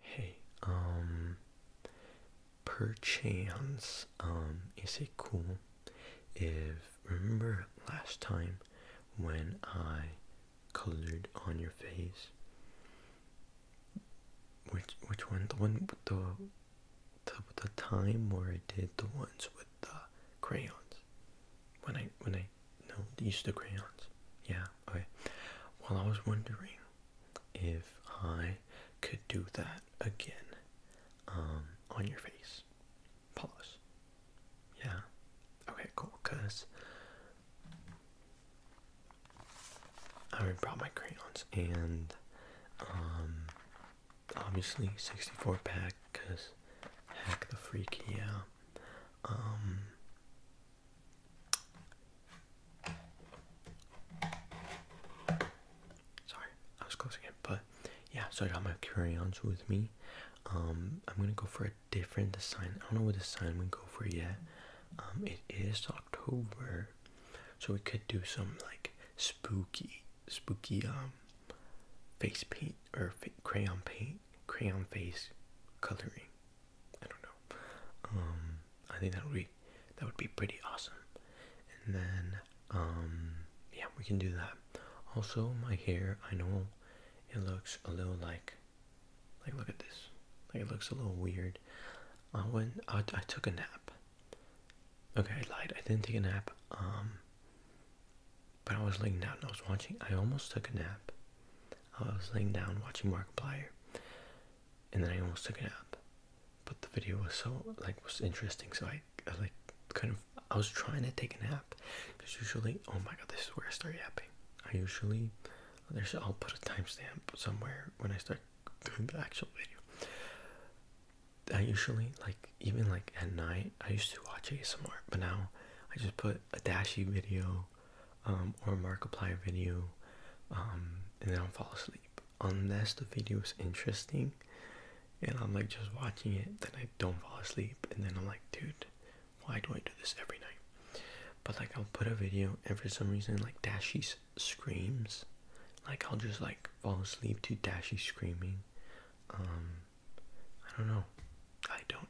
Hey, um, perchance, um, is it cool if, remember last time when I colored on your face? Which, which one? The one with the, the, the time or I did the ones with the crayons? When I, when I, no, the crayons. Yeah, okay. Well, I was wondering if I could do that again um, on your face. Pause. Yeah. Okay, cool. Because I already brought my crayons and um, obviously 64 pack because heck the freak, yeah. Um, Sorry, I was closing it, but yeah, so I got my crayons with me. Um, I'm gonna go for a different design. I don't know what design I'm go for yet. Um, it is October, so we could do some like spooky, spooky um face paint or crayon paint, crayon face coloring. I don't know. Um, I think that would be that would be pretty awesome. And then, um, yeah, we can do that. Also, my hair, I know it looks a little like, like look at this, like it looks a little weird. I went, I, took a nap. Okay, I lied. I didn't take a nap. Um, but I was laying down. I was watching. I almost took a nap. I was laying down watching Markiplier, and then I almost took a nap. But the video was so like was interesting, so I, like kind of I was trying to take a nap because usually oh my god this is where I start yapping. I usually there's I'll put a timestamp somewhere when I start doing the actual video. I usually like even like at night I used to watch ASMR, but now I just put a dashy video um, or a Markiplier video um, and then I'll fall asleep unless the video is interesting and I'm like just watching it then I don't fall asleep and then I'm like dude why do I do this every night but like I'll put a video and for some reason like Dashy screams like I'll just like fall asleep to Dashie screaming um, I don't know I don't know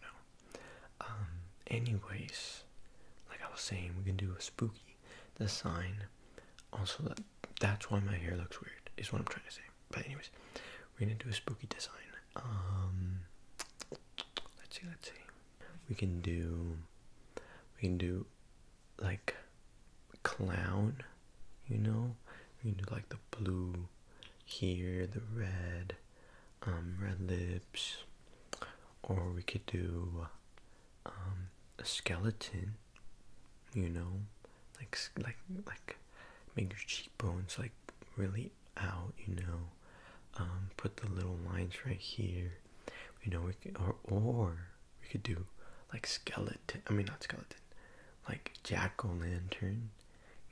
anyways like I was saying, we can do a spooky design. Also, that, that's why my hair looks weird, is what I'm trying to say. But, anyways, we're gonna do a spooky design. Um, let's see, let's see. We can do, we can do like clown, you know, we can do like the blue here, the red, um, red lips, or we could do um, a skeleton. You know, like like like make your cheekbones like really out. You know, um, put the little lines right here. You know, we could, or or we could do like skeleton. I mean, not skeleton, like jack o' lantern.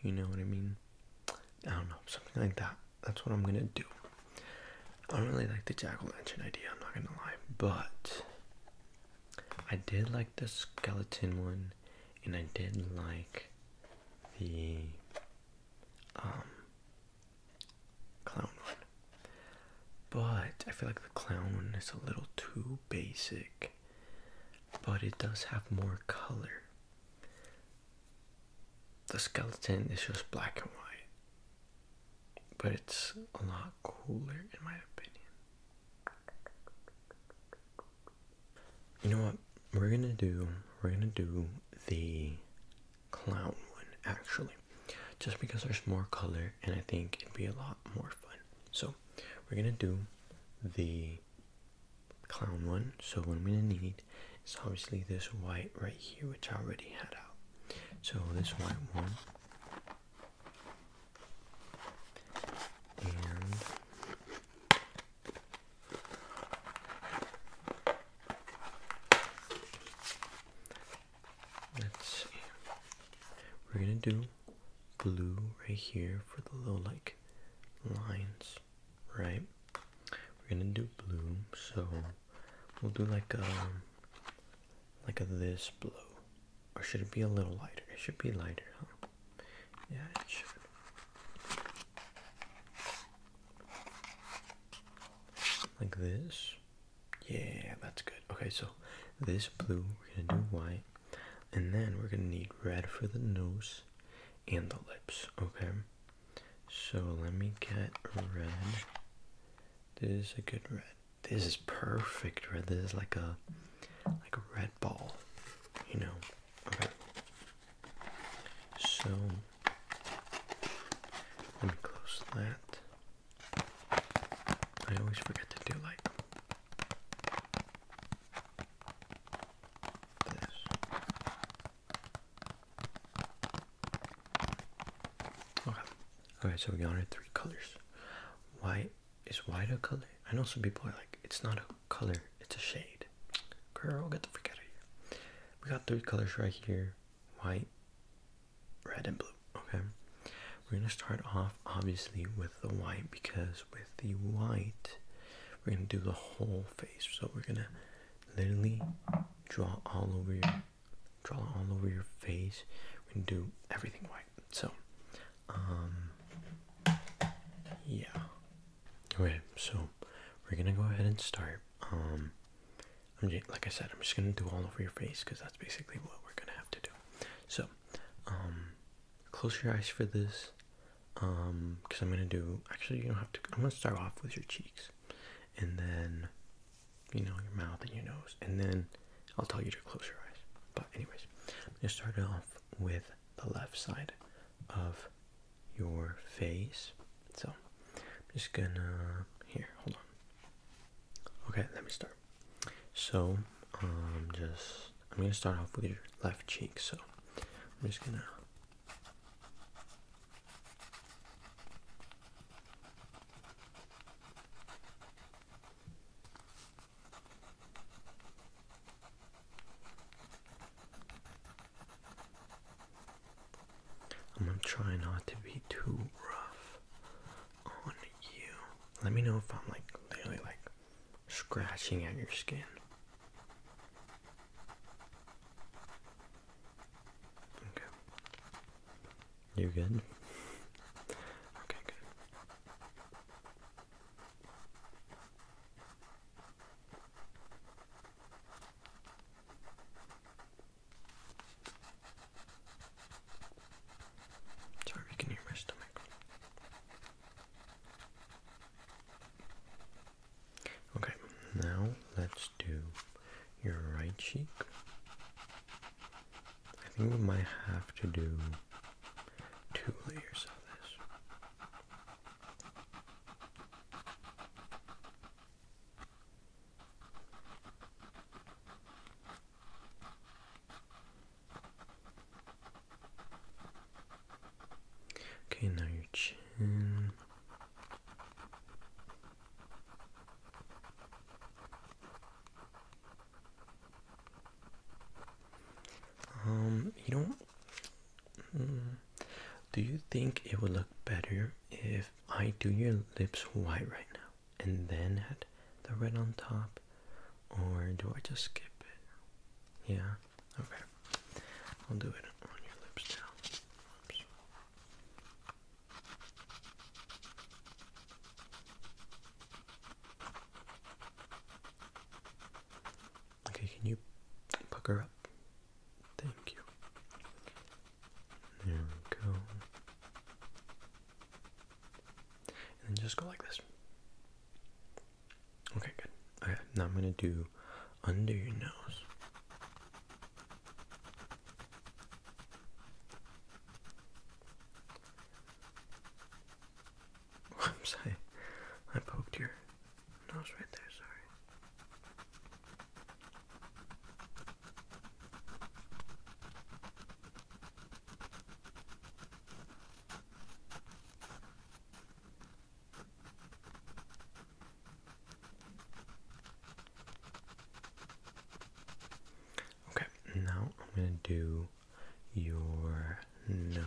You know what I mean? I don't know, something like that that's what I'm gonna do. I don't really like the jack o' lantern idea, I'm not gonna lie, but I did like the skeleton one, and I did like the um clown one. But I feel like the clown is a little too basic, but it does have more color the skeleton is just black and white, but it's a lot cooler in my opinion. You know what? We're gonna do we're gonna do the clown one actually, just because there's more color and I think it'd be a lot more fun. So we're gonna do the clown one. So what i gonna need is obviously this white right here, which I already had out. So this white one. let's see. We're gonna do blue right here for the little like lines, right? We're gonna do blue, so we'll do like um, a like this blue, or should it be a little lighter? It should be lighter, huh? Yeah, it should. Like this. Yeah, that's good. Okay, so this blue, we're gonna do white, and then we're gonna need red for the nose and the lips, okay? So let me get red. This is a good red. This is perfect red. This is like a like a red ball. You know. Okay. So let me close that. I always forget to do like this. Okay. Okay, so we got it three colors. White is white a color? I know some people are like, it's not a color, it's a shade. Girl, get the freak out We got three colors right here. White, red, and blue. Okay. We're gonna start off obviously with the white because with the white we're gonna do the whole face. So we're gonna literally draw all over your draw all over your face and do everything white so um, yeah okay so we're gonna go ahead and start um, I'm like I said I'm just gonna do all over your face because that's basically what we're gonna have to do so um, close your eyes for this because I'm gonna do actually you don't have to I'm gonna start off with your cheeks and then you know your mouth and your nose, and then I'll tell you to close your eyes. But anyways, I'm gonna start off with the left side of your face. So I'm just gonna here, hold on. Okay, let me start. So I'm um, just I'm gonna start off with your left cheek. So I'm just gonna I'm gonna try not to be too rough on you. Let me know if I'm like literally like scratching at your skin. Okay. You good? Okay, good. Sorry, you can hear my stomach. Okay, now let's do your right cheek. I think we might have to do two layers of this. Okay, now your chin. Um, you know, hmm, do you think it would look better if I do your lips white right now and then add the red on top, or do I just skip it? Yeah, okay, I'll do it on your lips now. Okay, can you pucker up? Thank you. There we go. And just go like this. Okay, good. Okay, now I'm gonna do under your nose. I'm sorry, I poked your nose right there, sorry. Okay, now I'm going to do your nose.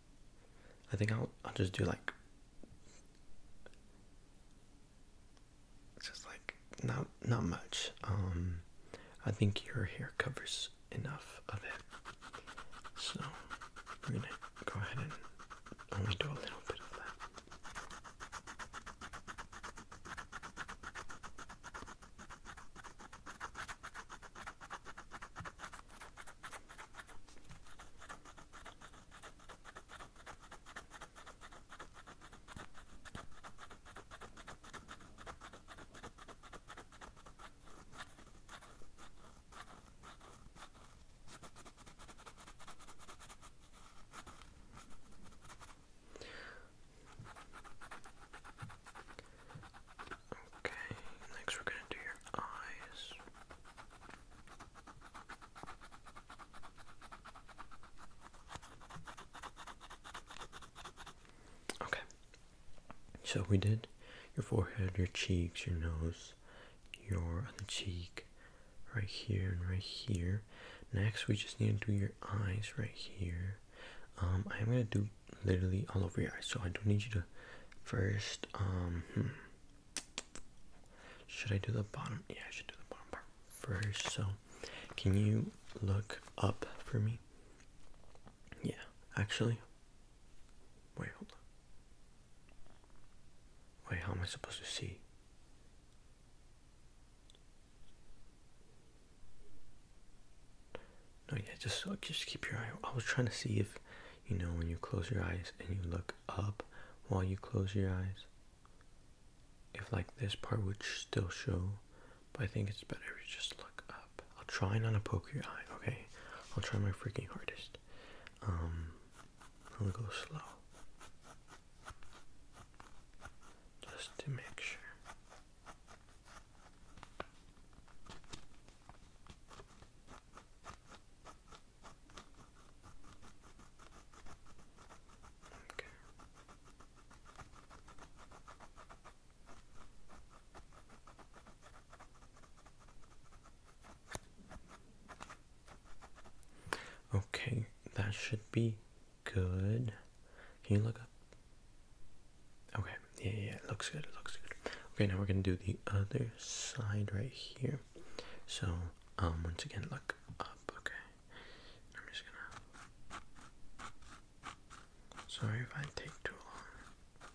I think I'll I'll just do like just like not not much. Um I think your hair covers enough of it. So we're gonna go ahead and only do a little bit of that. Okay, next we're going to do your eyes. Okay. So we did your forehead, your cheeks, your nose, your cheek, right here and right here. Next, we just need to do your eyes right here. I'm um, gonna do literally all over your eyes, so I don't need you to first. Um, hmm. Should I do the bottom? Yeah, I should do the bottom part first. So, can you look up for me? Yeah, actually. Wait, hold on. Wait, how am I supposed to see? Oh yeah, just just keep your eye. I was trying to see if you know when you close your eyes and you look up while you close your eyes if like this part would still show but i think it's better if you just look up i'll try not to poke your eye okay i'll try my freaking hardest um i'll go slow just to make sure Okay. Okay, that should be good. Can you look up? Okay, yeah, yeah, it looks good, it looks good. Okay, now we're gonna do the other side right here. So, um, once again, look up, okay? I'm just gonna. Sorry if I take too long.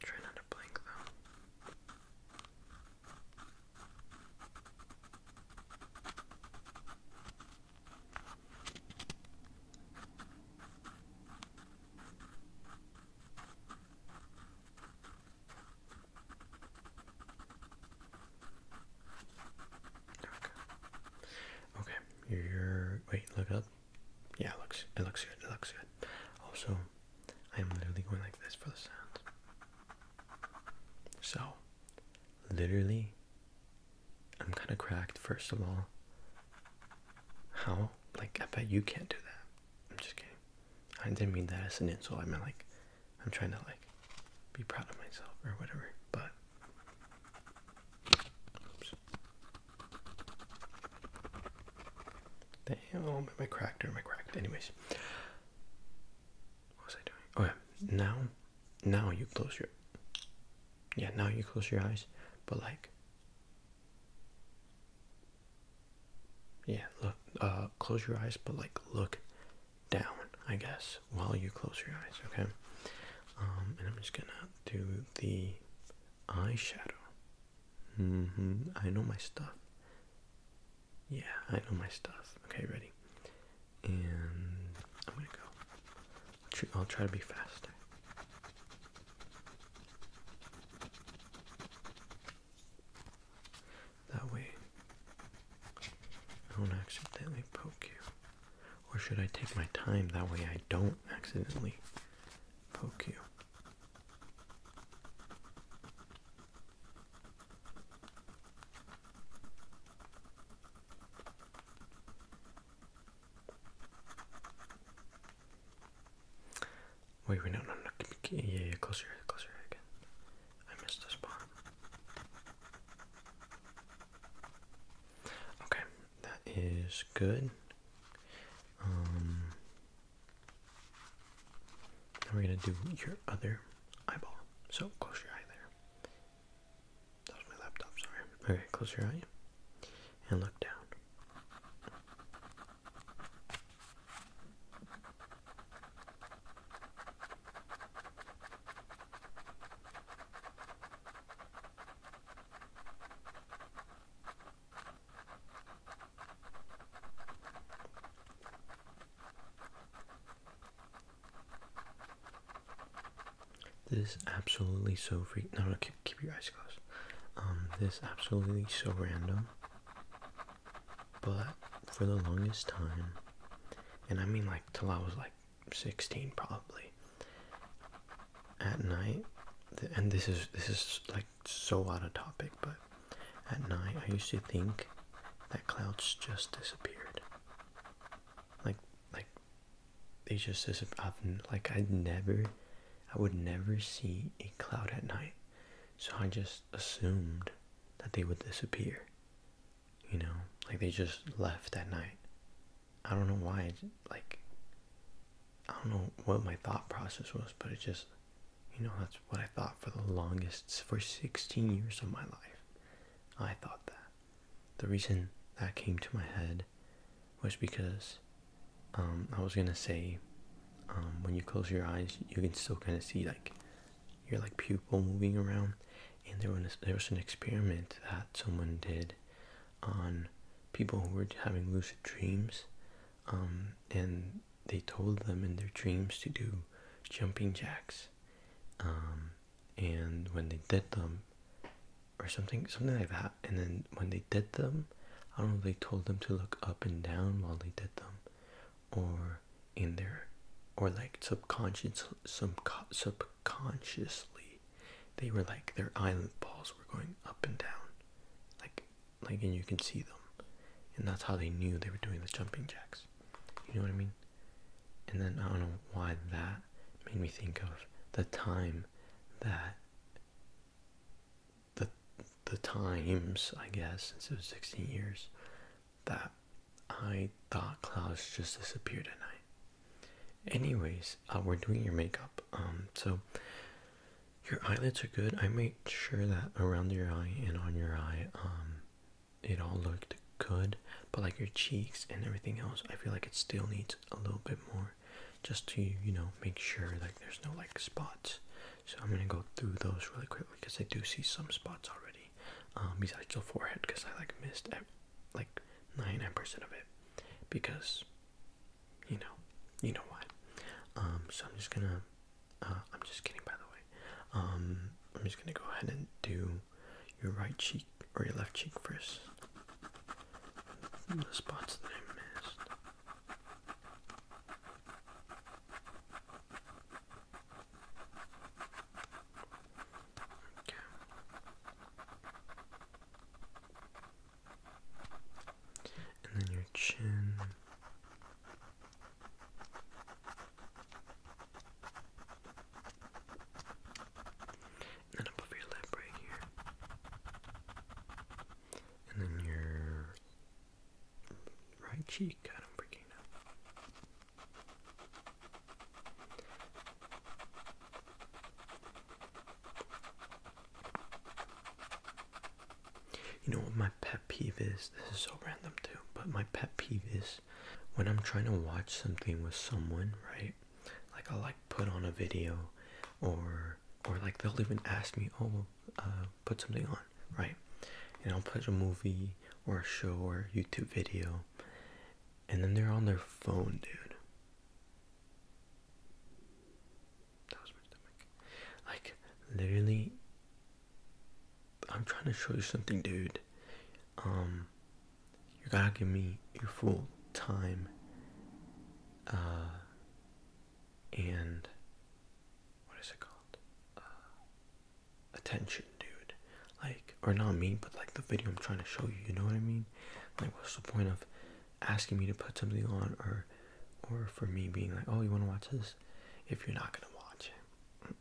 Try not to blink though. Okay. Okay. You're wait. Look up. Yeah, looks. It looks good. It looks good. Also, I am literally going like this for the sound. So, literally, I'm kind of cracked. First of all, how? Like, I bet you can't do that. I'm just kidding. I didn't mean that as an insult. I meant like I'm trying to like be proud of myself or whatever. But Damn, oh, am I cracked or am Anyways, what was I doing? Okay, oh, now, now you close your, yeah, now you close your eyes, but like, yeah look uh close your eyes but like look down i guess while you close your eyes okay um and i'm just gonna do the eyeshadow mm-hmm i know my stuff yeah i know my stuff okay ready and i'm gonna go i'll, try to be faster. That way, I don't accidentally poke you. Or should I take my time? That way, I don't accidentally poke you. Wait, wait, no, no, no. Yeah, yeah, closer, closer again. I missed the spot. Okay, that is good. Um, we're gonna do your other eyeball. So close your eye there. That was my laptop. Sorry. Okay, close your eye and look down. This is absolutely so freak. No, okay keep, your eyes closed. Um, this absolutely so random, but for the longest time, and I mean like till I was like 16 probably. At night, and this is this is like so out of topic, but at night I used to think that clouds just disappeared. Like like they just disappeared. I've, like I'd never I would never see a cloud at night. So I just assumed that they would disappear. You know, like they just left at night. I don't know why, like, I don't know what my thought process was, but it just, you know, that's what I thought for the longest, for 16 years of my life. I thought that. The reason that came to my head was because um, I was gonna say um, when you close your eyes, you can still kind of see like your like pupil moving around, and there was there was an experiment that someone did on people who were having lucid dreams, um, and they told them in their dreams to do jumping jacks, and when they did them, or something something like that, and then when they did them I don't know if they told them to look up and down while they did them, or in there, or like subconscious, some subconsciously, they were like their island balls were going up and down, like, like, and you can see them, and that's how they knew they were doing the jumping jacks. You know what I mean? And then I don't know why that made me think of the time that the the times I guess since it was 16 years that I thought clouds just disappeared at night. Anyways, uh, we're doing your makeup. Um, so your eyelids are good. I made sure that around your eye and on your eye, um, it all looked good. But like your cheeks and everything else, I feel like it still needs a little bit more just to you know make sure like there's no like spots so i'm going to go through those really quickly because i do see some spots already um, besides the forehead because i like missed like 99% of it because you know you know why um, so i'm just gonna uh, i'm just kidding by the way um, i'm just gonna go ahead and do your right cheek or your left cheek first the spots that i missed and then your chin. And then above your lip right here. And then your right cheek. I don't freaking know. You know what my pet peeve is? This is so random too, but my pet peeve is when I'm trying to watch something with someone, right? Like I'll like put on a video or or like they'll even ask me, oh uh, put something on, right? And I'll put a movie or a show or a YouTube video, and then they're on their phone, dude. That was my stomach. Like, literally, I'm trying to show you something, dude. Um, you gotta give me your full time, uh, and what is it called? Uh, attention, dude. Like, or not me, but like the video I'm trying to show you. You know what I mean? Like, what's the point of asking me to put something on, or, or for me being like, oh, you want to watch this? If you're not gonna watch it.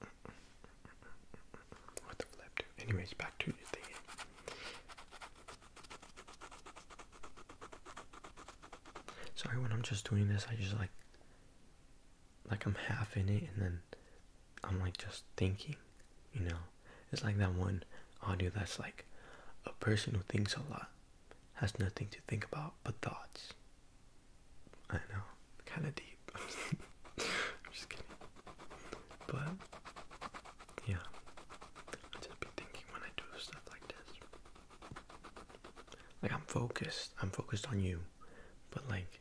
What the flip, dude? Anyways, back to the thing. Sorry when I'm just doing this, I just like like I'm half in it and then I'm like just thinking, you know. It's like that one audio that's like a person who thinks a lot has nothing to think about but thoughts. I know, kind of deep. I'm just kidding. But yeah, I just be thinking when I do stuff like this. Like I'm focused. I'm focused on you. But like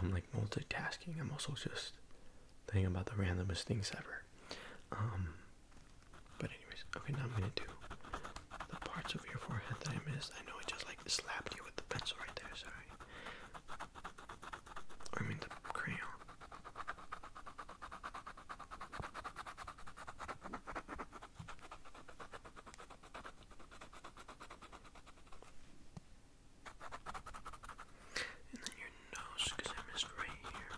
I'm like multitasking. I'm also just thinking about the randomest things ever. Um, but anyways, okay now I'm gonna do the parts of your forehead that I missed. I know I just like slapped you with the pencil right there, sorry. I mean the crayon. And then your nose, because I missed right here.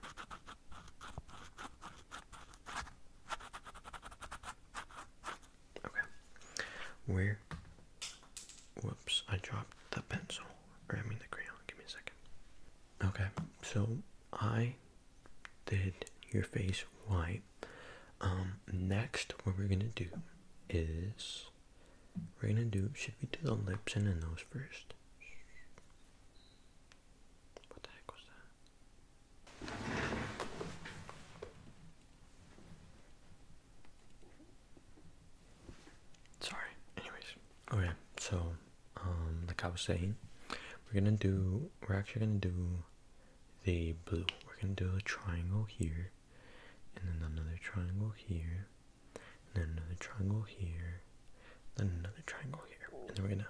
Okay. Where? Whoops, I dropped the pencil. I mean the crayon. Give me a second. Okay, so I did your face white. Um, next, what we're gonna do is we're gonna do. Should we do the lips and the nose first? What the heck was that? Sorry. Anyways, okay. Oh, so um, like I was saying, we're gonna do, we're actually gonna do the blue. We're gonna do a triangle here, and then another triangle here, and then another triangle here, then another triangle here, and then we're gonna,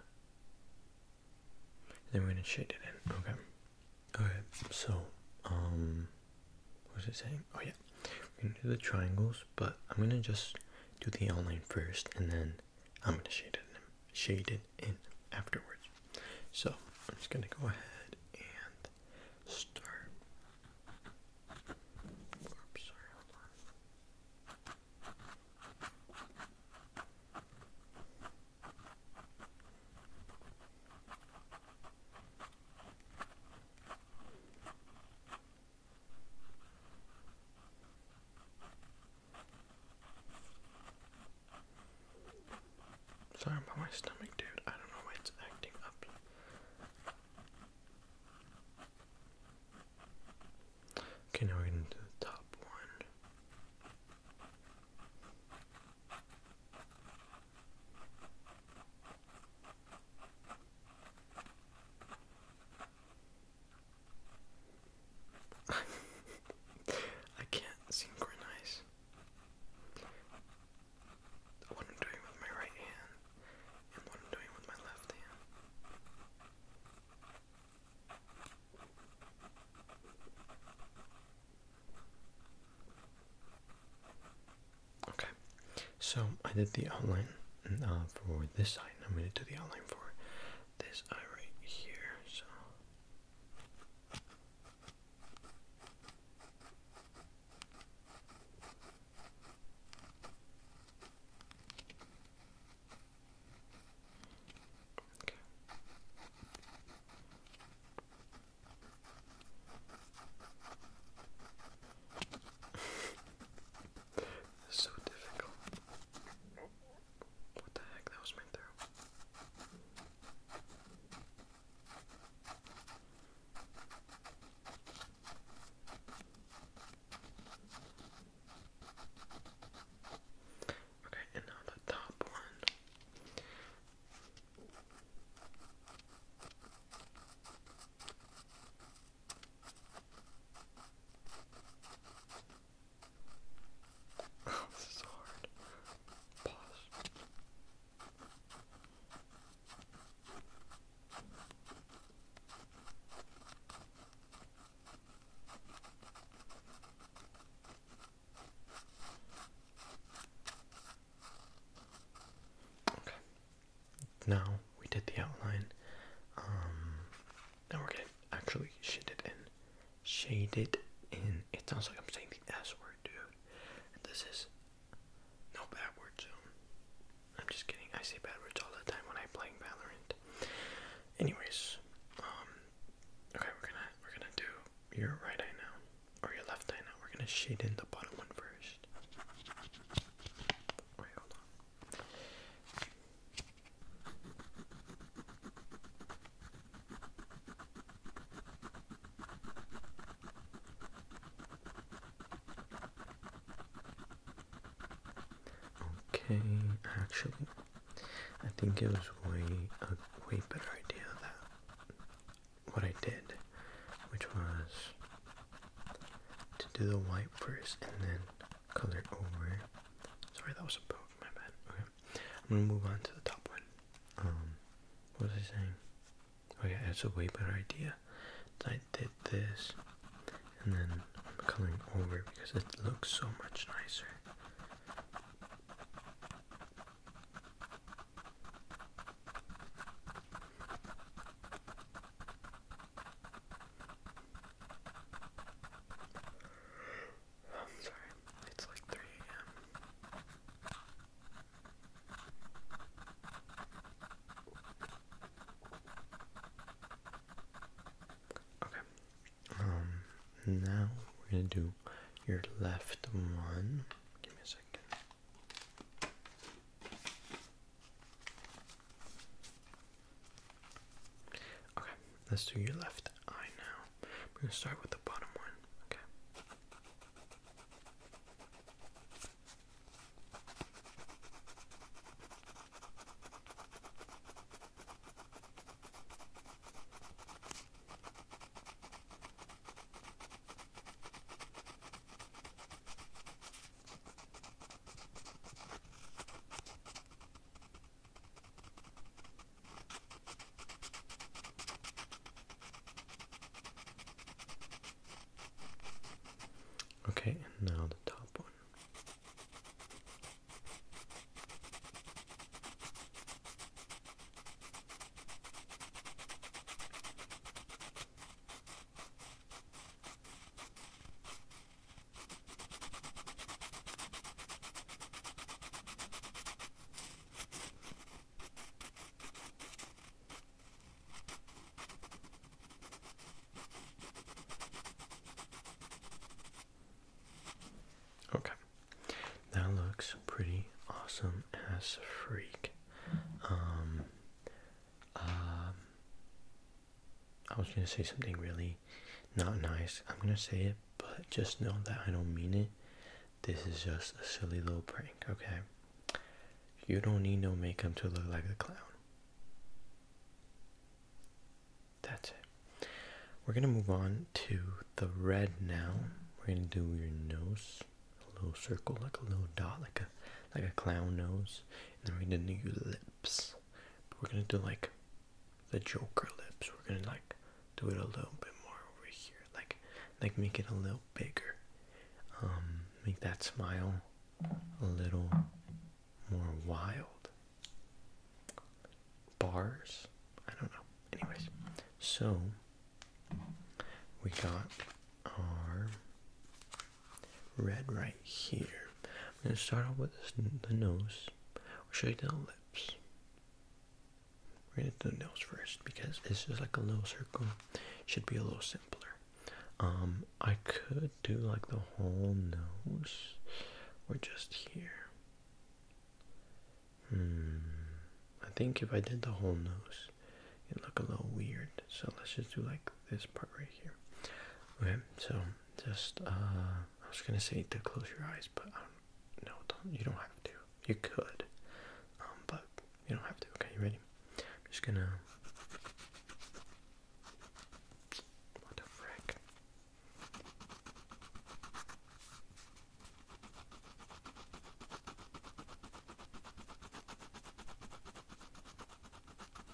then we're gonna shade it in. Okay. all right. So, um, what was it saying? Oh yeah, we're gonna do the triangles, but I'm gonna just do the outline first, and then I'm going to shade it in, shade it in afterwards. So I'm just going to go ahead and start. Sorry about my stomach, dude. I don't know why it's acting up. Okay, now we're gonna do the top one. I can't synchronize what I'm doing with my right hand and what I'm doing with my left hand. Okay, so I did the outline uh, for this side. I'm going to do the outline for this eye right here, so okay. so difficult. What the heck? That was my throw. Okay, and now the top one. this is hard. Pause. Okay. Now we did the outline. Um, now we're getting actually it in. Shaded in. It sounds like I'm saying the S word, dude. this is no bad word I'm just kidding. I say bad words all the time when I'm playing Valorant. Anyways, um, okay, we're gonna we're gonna do your right eye now or your left eye now. We're gonna shade in the bottom one first. Wait, hold on. Okay, actually, I think it was way a way better idea that what I did, which was to do the white first and then color over Sorry, that was a boat. My bad. Okay, I'm gonna move on to the top one. Um, what was I saying? Oh yeah, it's a way better idea. I did this, and then I'm coloring over because it looks so much nicer. I'm sorry, it's like 3 a.m. Okay. Um, now we're gonna do your left one. Give me a second. Okay, let's do your left eye now. I'm going to start with the bottom one. Okay. Okay, and now the top one. Okay, that looks pretty awesome as a freak. Um, um, I was gonna say something really not nice. I'm gonna say it, but just know that I don't mean it. This is just a silly little prank, okay? You don't need no makeup to look like a clown. That's it. We're gonna move on to the red now. We're gonna do your nose, a little circle, like a little dot, like a like a clown nose, and then we're gonna do your lips we're gonna do like the Joker lips. We're gonna like do it a little bit more over here, like like make it a little bigger. Um, make that smile a little more wild. Bars? I don't know. Anyways, so we got our red right here. I'm going to start off with the nose. We'll shade down the lips. We're going to do the nose first because this is like a little circle. Should be a little simpler. Um, I could do like the whole nose or just here. Hmm. I think if I did the whole nose, it'd look a little weird. So let's just do like this part right here. Okay, so just uh, I was gonna say to close your eyes, but um, no, don't. You don't have to. You could, um, but you don't have to. Okay, you ready? just gonna. What the frick?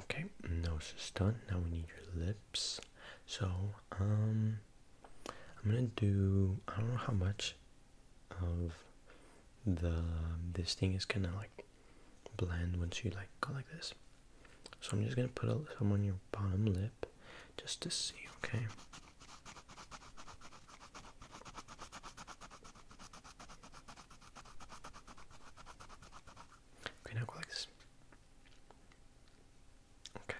Okay, nose is done. Now we need your lips. So, um, I'm gonna do. I don't know how much of the this thing is gonna like blend once you like go like this. So I'm just gonna put a, some on your bottom lip, just to see. Okay. Okay, now go like this. Okay.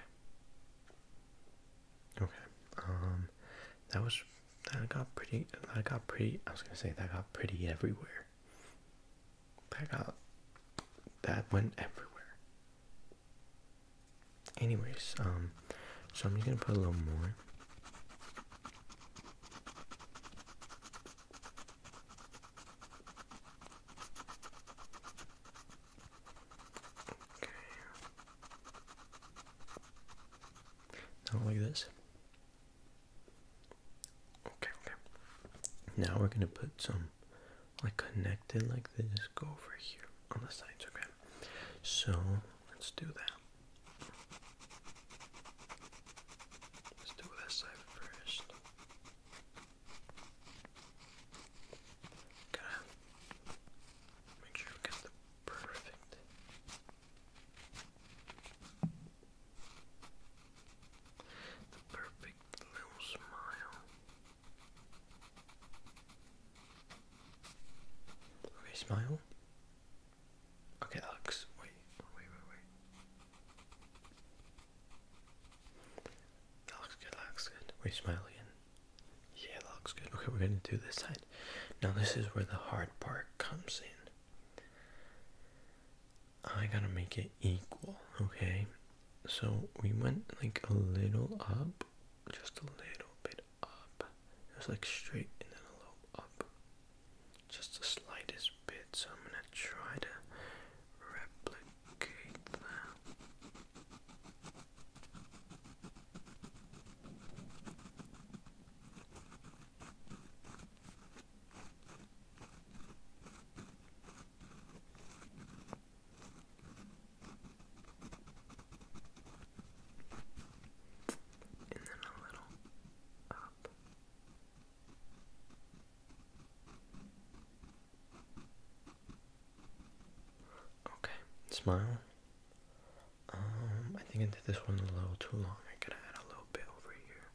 Okay. Um, that was that got pretty. That got pretty. I was gonna say that got pretty everywhere. That got that went everywhere. Anyways, um, so I'm just gonna put a little more. Okay. Now like this. Okay, okay. Now we're gonna put some like connected like this. Go over here on the sides, okay? So let's do that. Let's do this side first got make sure we get the perfect. The perfect little smile. Okay, smile. Okay, Alex, wait, wait, wait, wait. That looks good, that looks good. Were you smiling? Yeah, that looks good. Okay, we're gonna do this side. Now this is where the hard part comes in. I gotta make it equal, okay? So we went like a little up, just a little bit up. It was like straight and then a little up just the slightest bit, so I'm going to try to replicate that. And then a little up. Okay, smile. Um, I think I did this one a little too long. I could add a little bit over here.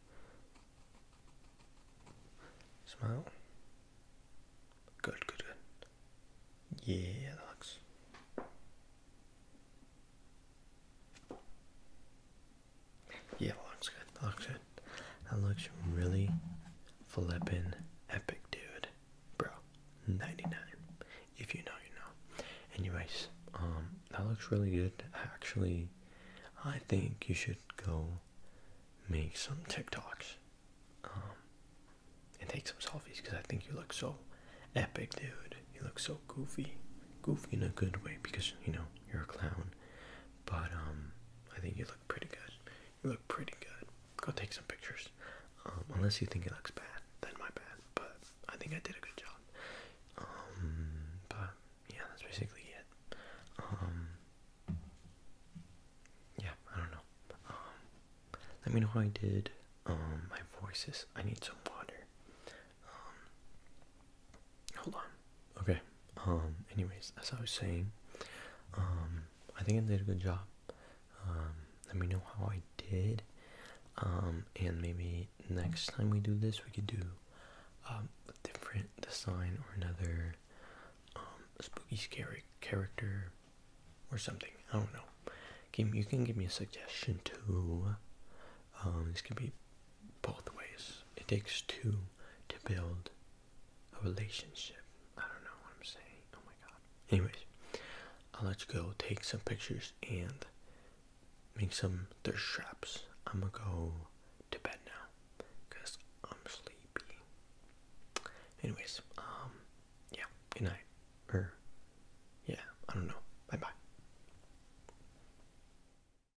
Smile. Good, good, good. Yeah, that looks. Yeah, looks good. looks good. That looks really flippin' epic, dude. Bro, 99. If you know, you know. Anyways, um, that looks really good. Actually, I think you should go make some TikToks. Um, and take some selfies because I think you look so epic, dude. You look so goofy. Goofy in a good way because, you know, you're a clown. But um, I think you look pretty good. You look pretty good. Go take some pictures. Um, unless you think it looks bad, then my bad. But I think I did a good job. Um, but yeah, that's basically it. Um, yeah, I don't know. Um, let me know how I did. Um, my voices. I need some water. Um, hold on. Okay. Um. Anyways, as I was saying, um, I think I did a good job. Um, let me know how I did. Um, and maybe next time we do this, we could do um, a different design or another um, spooky scary character or something. I don't know. Give you can give me a suggestion too. Um, this can be both ways. It takes two to build a relationship. I don't know what I'm saying. Oh my god. Anyways, I'll let you go take some pictures and make some thirst traps. I'm gonna go to bed now because I'm sleepy. Anyways, um, yeah, good night. Or, er, yeah, I don't know. Bye bye.